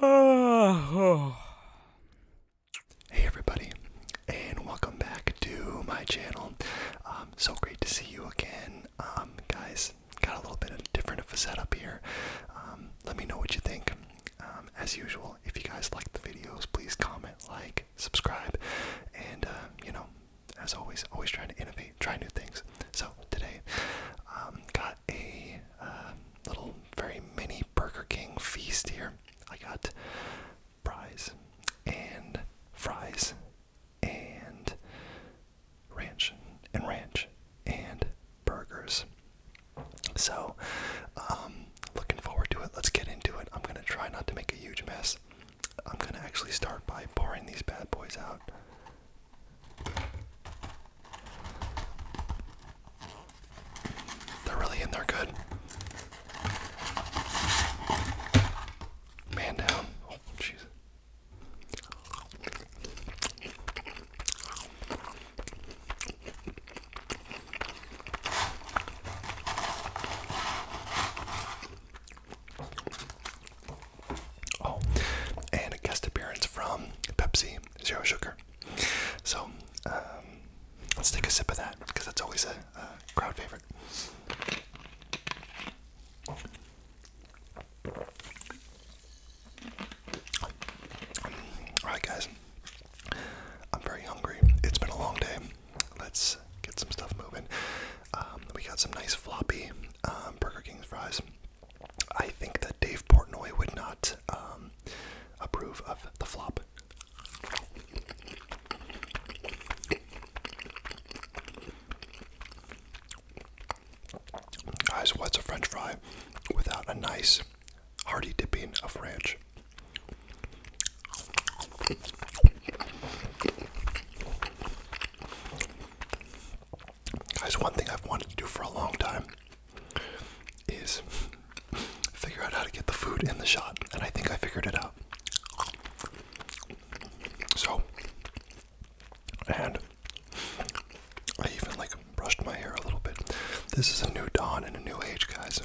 Hey everybody, and welcome back to my channel. Um, so great to see you again, um, guys. Got a little bit of different of a setup here. Um, let me know what you think. as usual, if you guys like the videos, please comment, like, subscribe, and uh, you know, as always, always trying to innovate, try new things. So today, um, got a um, little very mini Burger King feast here. I got fries and fries and ranch and ranch and burgers. So, um, looking forward to it. Let's get into it. I'm gonna try not to make a huge mess. I'm gonna actually start by pouring these bad boys out. They're really in there good. Man down. Oh, jeez. Oh, and a guest appearance from Pepsi Zero Sugar. So um, let's take a sip of that because that's always a, crowd favorite. Alright, guys, I'm very hungry. It's been a long day. Let's get some stuff moving. Um, we got some nice floppy um, Burger King fries. I think that Dave Portnoy would not um, approve of the flop. Guys, what's a french fry without a nice hearty dipping of ranch? Guys, one thing I've wanted to do for a long time is figure out how to get the food in the shot, and I think I figured it out. So, and I even like brushed my hair a little bit. This is a new dawn and a new age, guys.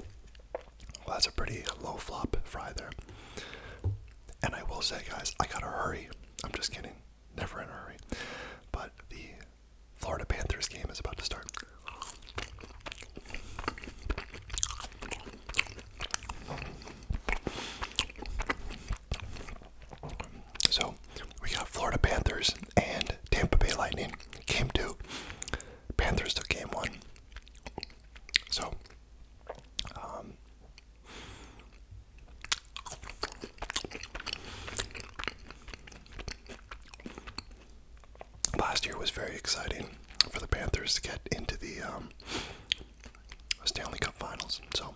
Well, that's a pretty low flop fry there. And I will say, guys, I gotta hurry. I'm just kidding never in a hurry. But the Florida Panthers game is about to start. So we got Florida Panthers and Tampa Bay Lightning. Game two. Panthers took game one. So um, Last year was very exciting for the Panthers to get into the um, Stanley Cup Finals, so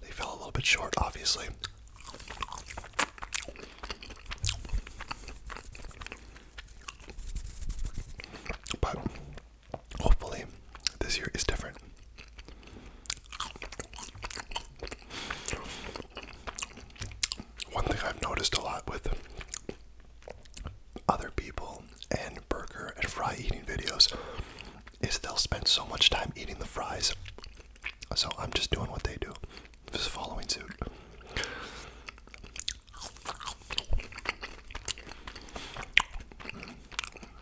they fell a little bit short, obviously. But hopefully this year is different. One thing I've noticed a lot with other people and burger and fry eating videos is they'll spend so much time eating the fries. So I'm just doing what they do, just following suit.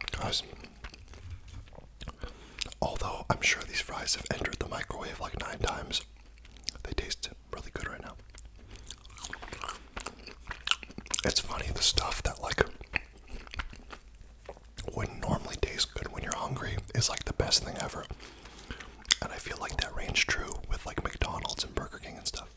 Because although I'm sure these fries have entered the microwave like nine times, they taste really good right now. It's funny the stuff that like would normally taste good when you're hungry is like the best thing ever. And I feel like that range true with like McDonald's and Burger King and stuff.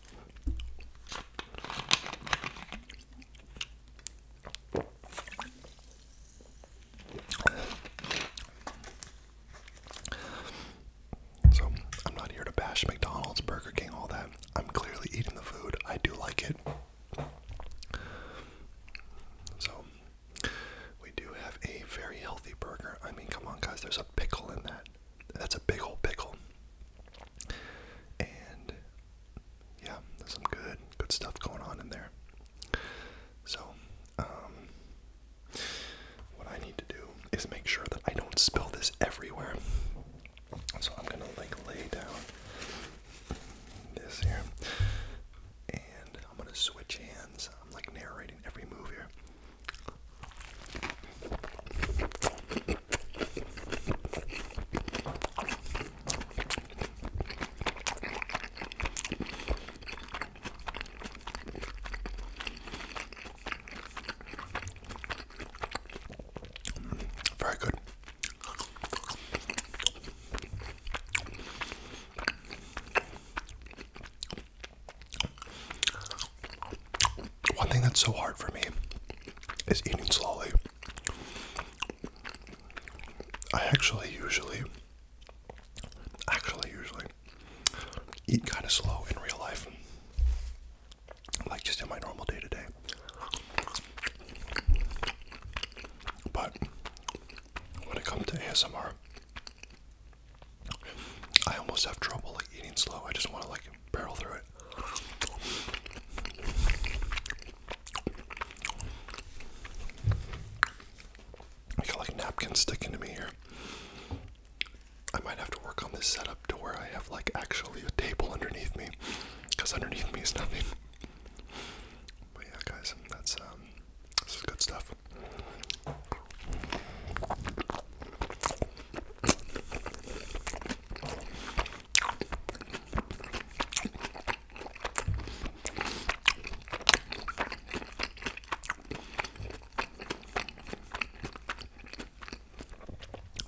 So, I'm not here to bash McDonald's, Burger King, all that. I'm clearly eating the food. I do like it. So, we do have a very healthy burger. I mean, come on, guys, there's a pickle in that. That's a big old pickle. And yeah, there's some good, good stuff going on in there. So, um, what I need to do is make sure that I don't spill this everywhere. So I'm gonna like lay down this here, and I'm gonna switch hands. I'm like narrating every move here. Very good. One thing that's so hard for me is eating slowly. I actually usually, actually usually, eat kind of slow in real life, like just in my normal day to day. But when it comes to ASMR, I almost have trouble like eating slow. I just want to like barrel through it. I got like napkins sticking to me here. I might have to work on this setup to where I have like actually a table underneath me, because underneath me is nothing. But yeah, guys, that's um, this is good stuff.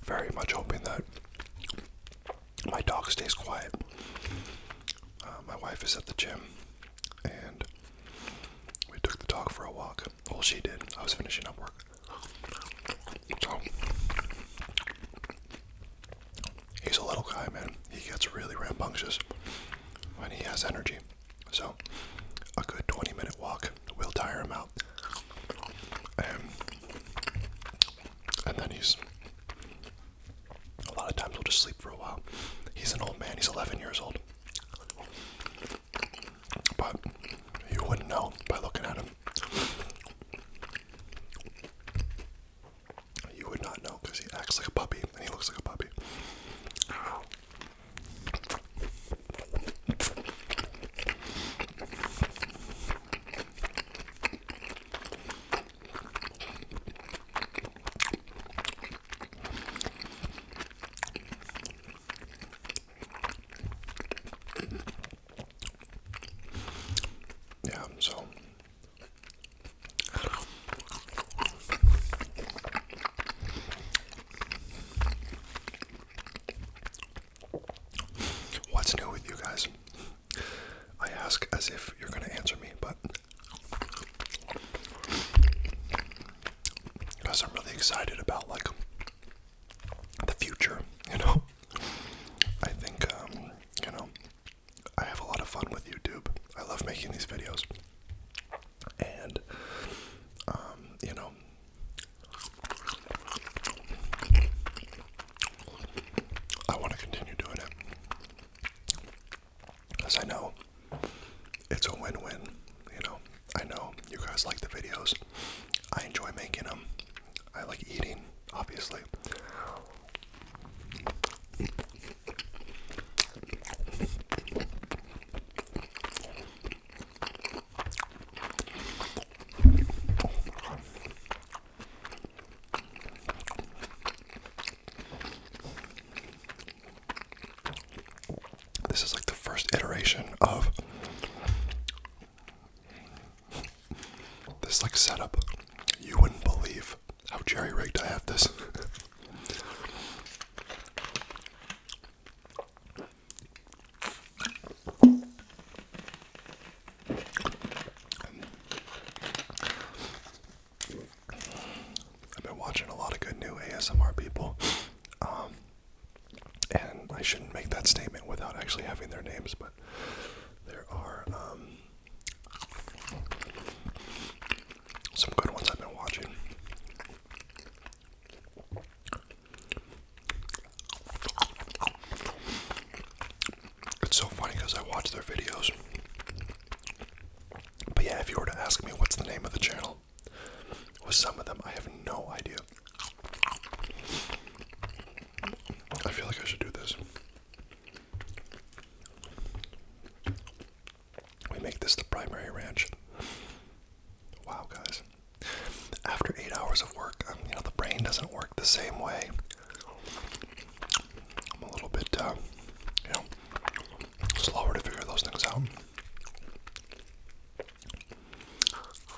Very much hoping that my dog stays quiet. Uh, my wife is at the gym and we took the dog for a walk. Well, she did. I was finishing up work. So he's a little guy, man. He gets really rambunctious when he has energy. So a good 20 minute walk will tire him out. And, and then he's a lot of times will just sleep for a while. He's an old man, he's 11 years old. But you wouldn't know by looking at him. You would not know because he acts like a puppy and he looks like a puppy. Yeah, so what's new with you guys? I ask as if you're gonna answer me, but because I'm really excited about like the future, you know. I think, um, you know, I have a lot of fun with YouTube. I love making these videos. And, um, you know, I want to continue doing it. Because I know it's a win win, you know. I know you guys like the videos, I enjoy making them. I like eating, obviously. this is like the first iteration of this like setup, you wouldn't believe how jerry rigged I have this. I've been watching a lot of good new ASMR people, um, and I shouldn't make that statement without actually having their names, but there are um, some good ones I've been watching. It's so funny because I watch their videos. But yeah, if you were to ask me what's the name of the channel, with some of them I have no idea. I feel like I should do this. We make this the primary ranch. Wow, guys. After eight hours of work, um, you know, the brain doesn't work the same way. I'm a little bit, uh, you know, slower to figure those things out.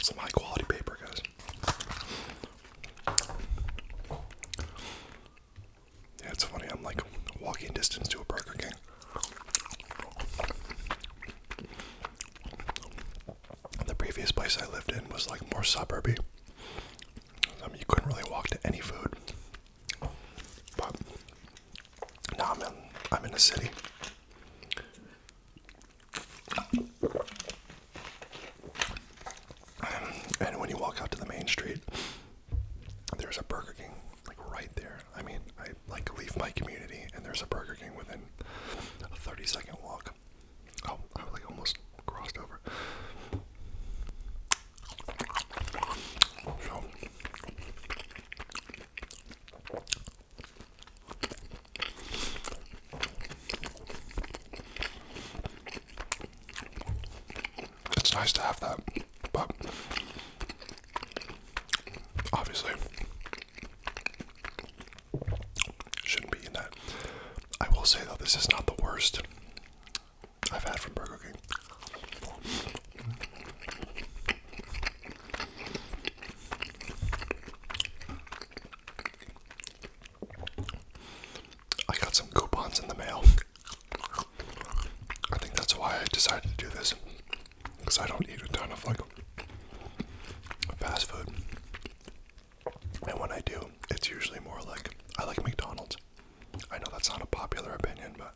Some high quality paper, guys. Yeah, it's funny. I'm like walking distance to a Burger King. The previous place I lived in was like more suburby. I you couldn't really walk to any food. But now I'm in, I'm in a city. And when you walk out to the main street, there's a Burger King like right there. I mean, I like leave my community and there's a Burger King within a 30 second walk. Oh, I like almost crossed over. it's nice to have that, but obviously shouldn't be in that. I will say though, this is not the worst I've had from Burger King. I got some coupons in the mail. I think that's why I decided to do this. Because I don't eat a ton of like fast food. And when I do, it's usually more like I like McDonald's. I know that's not a popular opinion, but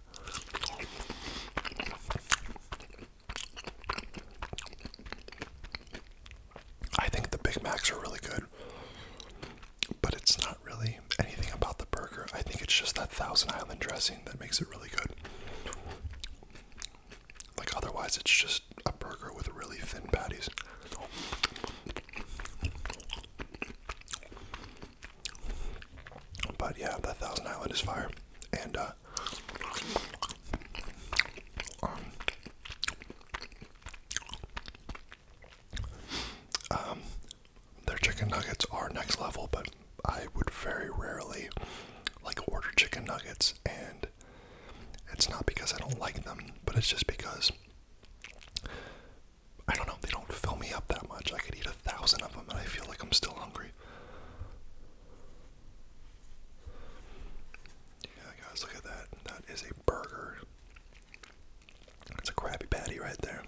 I think the Big Macs are really good. But it's not really anything about the burger. I think it's just that Thousand Island dressing that makes it really good. Like, otherwise, it's just a burger with really thin patties. But yeah, that Thousand Island is fire, and uh, um, their chicken nuggets are next level. But I would very rarely like order chicken nuggets, and it's not because I don't like them, but it's just because I don't know, they don't fill me up that much. I could eat a thousand of them and I feel like I'm still hungry. Yeah, guys, look at that. That is a burger. That's a Krabby Patty right there.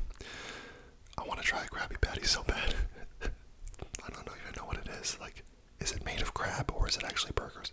I want to try a Krabby Patty so bad. I don't know, even know what it is. Like, is it made of crab or is it actually burgers?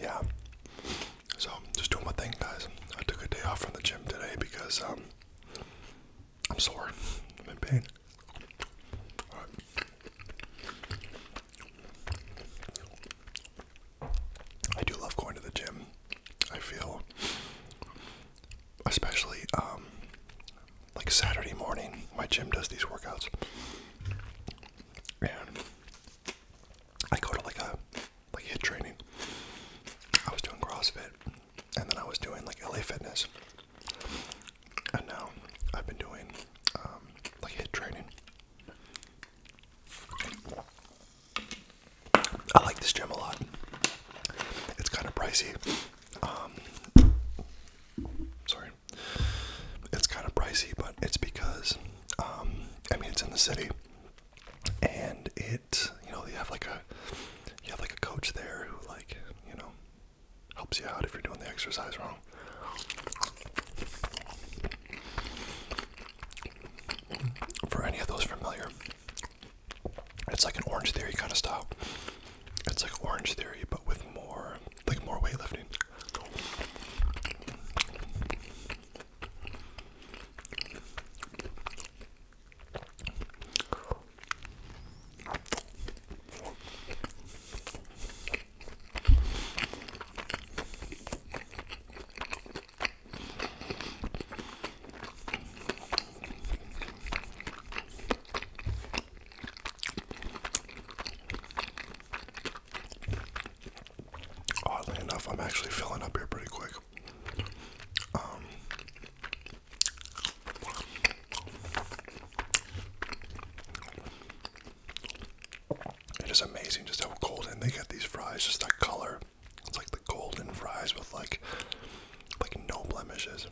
yeah. So just doing my thing, guys. I took a day off from the gym today because um, I'm sore. I'm in pain. I do love going to the gym. I feel, especially um, like Saturday morning, my gym does these workouts, and I go to like a like hit training. I was doing CrossFit, and then I was doing like LA Fitness, and now I've been doing um, like hit training. I like this gym a lot. It's kind of pricey. Um, sorry. It's kind of pricey, but it's because um, I mean it's in the city, and it you know you have like a you have like a coach there who like you know helps you out if you're doing the exercise wrong. For any of those familiar, it's like an Orange Theory kind of style. It's like Orange Theory, but with more, like more weightlifting. Oddly enough, I'm actually filling up here pretty quick. Um, it is amazing just how golden they get these fries, just that color. It's like the golden fries with like like no blemishes.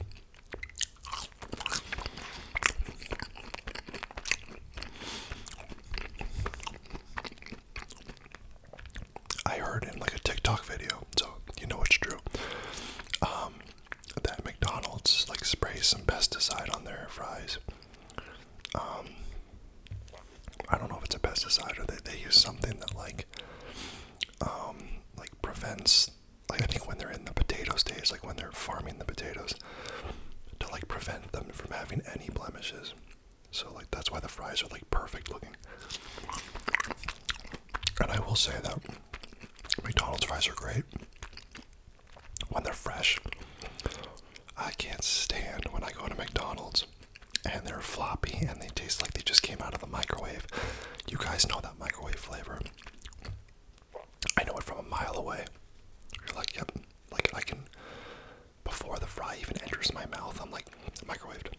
I heard in like a TikTok video, so you know it's true. Um, that McDonald's like spray some pesticide on their fries. Um, I don't know if it's a pesticide or they they use something that like um, like prevents like I think when they're in the potato stage, like when they're farming the potatoes, to like prevent them from having any blemishes. So like that's why the fries are like perfect looking. And I will say that McDonald's fries are great when they're fresh. I can't stand when I go into McDonald's and they're floppy and they taste like they just came out of the microwave. You guys know that microwave flavor. I know it from a mile away. You're like, yep, like I can. Before the fry even enters my mouth, I'm like microwaved.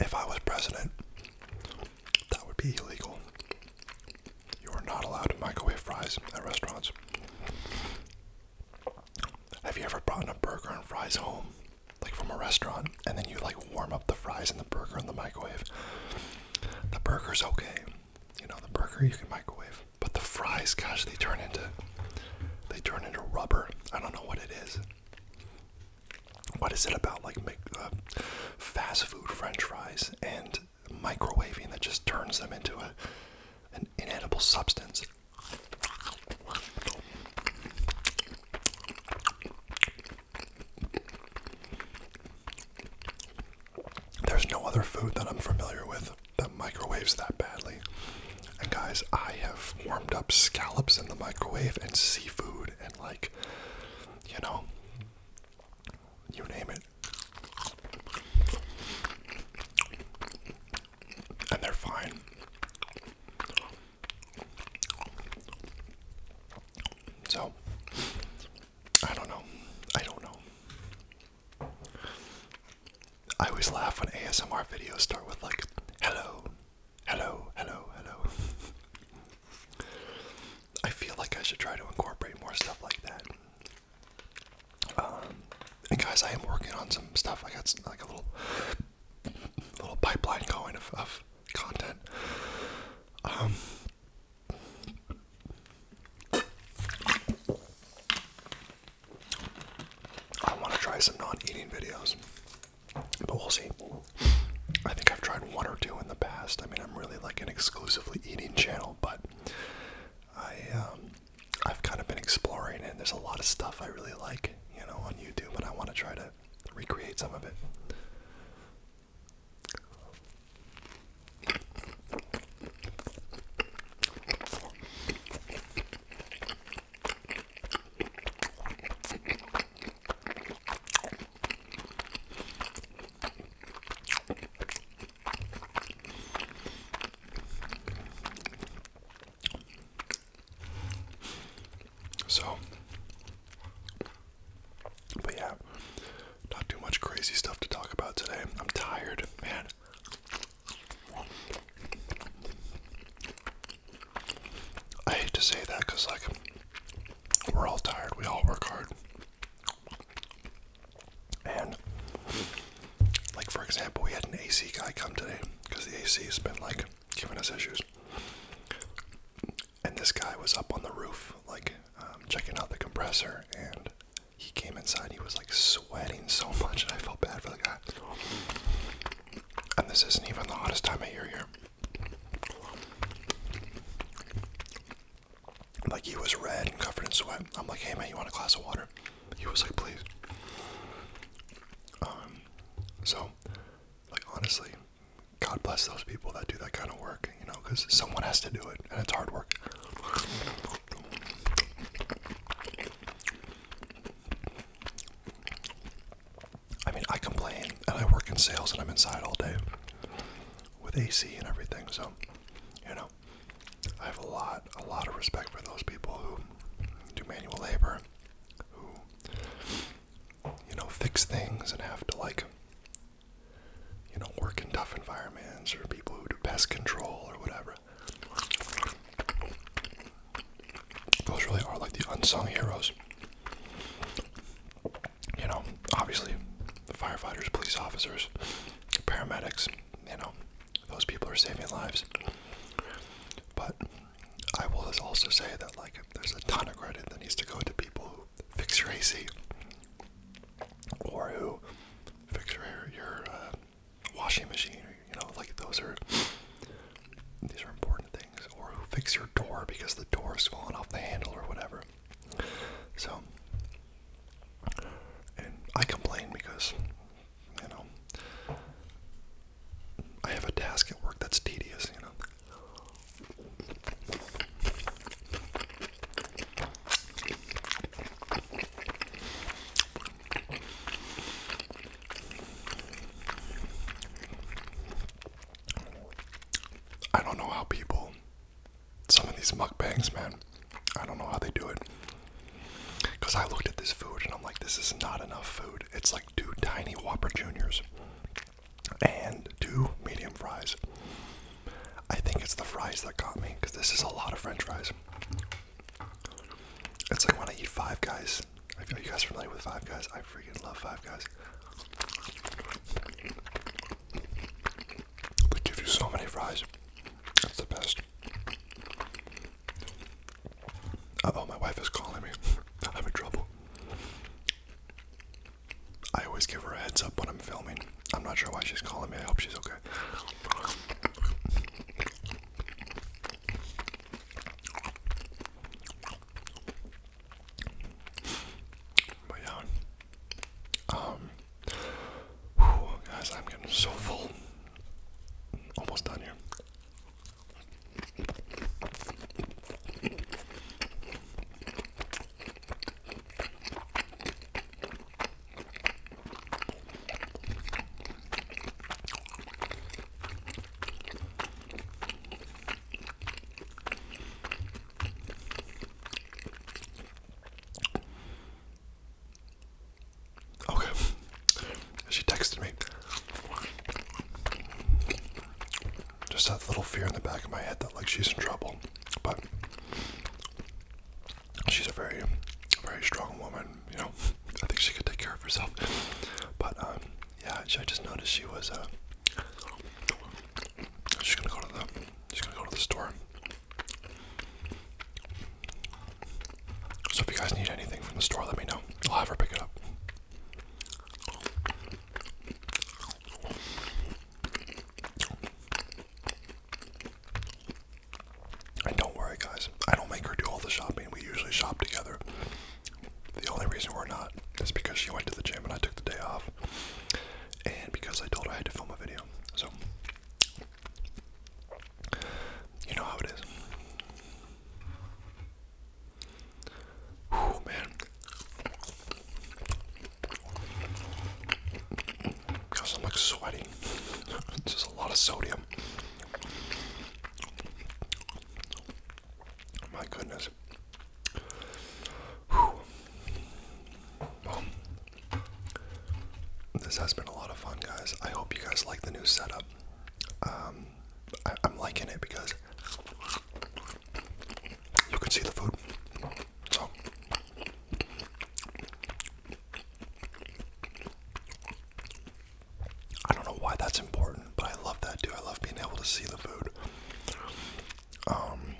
If I was president, that would be illegal. You are not allowed to microwave fries at restaurants. Have you ever brought in a burger and fries home, like from a restaurant, and then you like warm up the fries and the burger in the microwave? The burger's okay. You know, the burger you can microwave. But the fries, gosh, they turn into they turn into rubber. I don't know what it is what is it about like uh, fast food French fries and microwaving that just turns them into a an inedible substance? There's no other food that I'm familiar with that microwaves that badly. And guys, I have warmed up scallops in the microwave and seafood and like, you know, you name it. And they're fine. So, I don't know. I don't know. I always laugh when ASMR videos start with, like, hello, Hello, hello, hello. I feel like I should try to incorporate more stuff like that. Um, and guys, I am working on some stuff. I got like a little, little pipeline going of, of content. Um, I want to try some non-eating videos. But we'll see. I think I've tried one or two in the past. I mean, I'm really like an exclusively eating channel, but I um, I've kind of been exploring, and there's a lot of stuff I really like, you know, on YouTube, and I want to try to recreate some of it. So, but yeah, not too much crazy stuff to talk about today. I'm tired, man. I hate to say that because, like, we're all tired, we all work hard. And, like, for example, we had an AC guy come today because the AC has been, like, giving us issues. And this guy was up on the roof, like, um, checking out the compressor, and he came inside. He was like sweating so much, and I felt bad for the guy. And this isn't even the hottest time of year here. Like he was red and covered in sweat. I'm like, hey man, you want a glass of water? He was like, please. Um, so, like honestly, God bless those people that do that kind of work, you know, because someone has to do it, and it's hard work. I mean, I complain, and I work in sales, and I'm inside all day with AC and everything. So, you know, I have a lot, a lot of respect for those people who do manual labor, who, you know, fix things and have to like, you know, work in tough environments, or people who do pest control or whatever. Those really are like the unsung heroes. You know, obviously, firefighters, police officers, paramedics, you know, those people are saving lives. But I will also say that, like, there's a ton of credit that needs to go to people who fix your AC or who fix your, your uh, washing machine you know, like those are these are important things. Or who fix your door because the door's fallen off the handle or whatever. So and I complain because you know I have a task at work that's tedious, you know. I don't know how people, some of these mukbangs, man, I don't know how they do it. Because I looked at this food and I'm like, this is not enough food. It's like two tiny Whopper Juniors and two medium fries. I think it's the fries that got me because this is a lot of french fries. It's like when I eat five guys I feel you guys are familiar with Five Guys, I freaking love Five Guys. They give you so many fries. That's the best. oh, my wife is calling me. I'm having trouble. I always give her a heads up when I'm filming. I'm not sure why she's calling me. I hope she's okay. But yeah, um, guys, I'm getting so full. Almost done here. Okay. She texted me. Just that little fear in the back of my head that like she's in trouble. But she's a very very strong woman you know, I think she could take care of herself. But um, yeah, I just noticed she was. Uh, she's gonna go to the. She's gonna go to the store. So if you guys need anything from the store, let me know. I'll have her pick it up. And don't worry, guys. I don't make her do all the shopping. We usually shop together. The only reason we're not is because she went to the gym and I took the day off, and because I told her I had to film a video. So, you know how it is. Oh man. Because I'm like sweating. Just a lot of sodium. Oh my goodness. Oh. this has been a lot of fun, guys. I hope you guys like the new setup. Um, I I'm liking it because you can see the food. So. I don't know why that's important, but I love that too. I love being able to see the food. Um,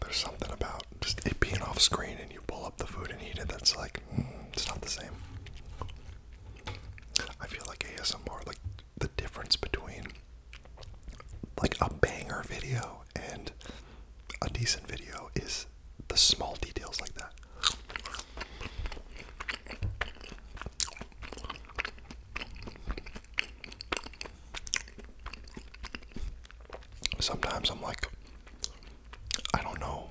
there's something about just it being off screen and you pull up the food and eat it that's like, mm, it's not the same. I feel like ASMR, like the difference between like a banger video and a decent video is the small details like that. Sometimes I'm like, I don't know.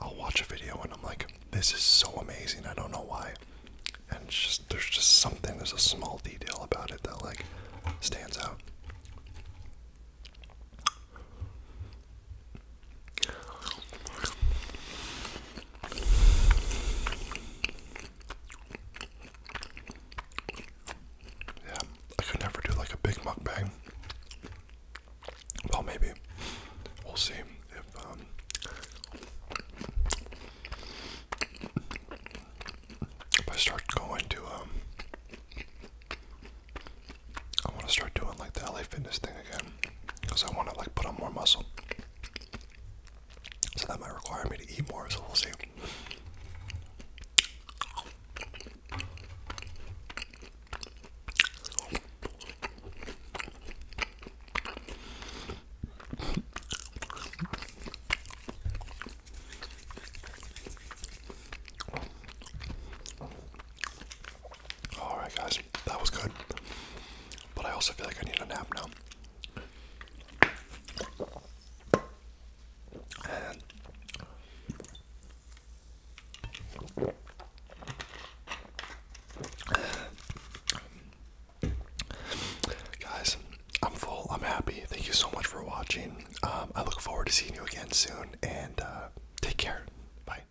I'll watch a video and I'm like, this is so amazing. I don't know why. And just there's just something, there's a small detail about it that like stands out. Yeah, I could never do like a big mukbang. Well, maybe. We'll see if, um, If I start going to, um, I want to start doing like the LA Fitness thing again because I want to like put on more muscle. So that might require me to eat more. So we'll see. All right, guys, that was good, but I also feel like I need a nap now. Guys, I'm full. I'm happy. Thank you so much for watching. Um, I look forward to seeing you again soon, and uh, take care. Bye.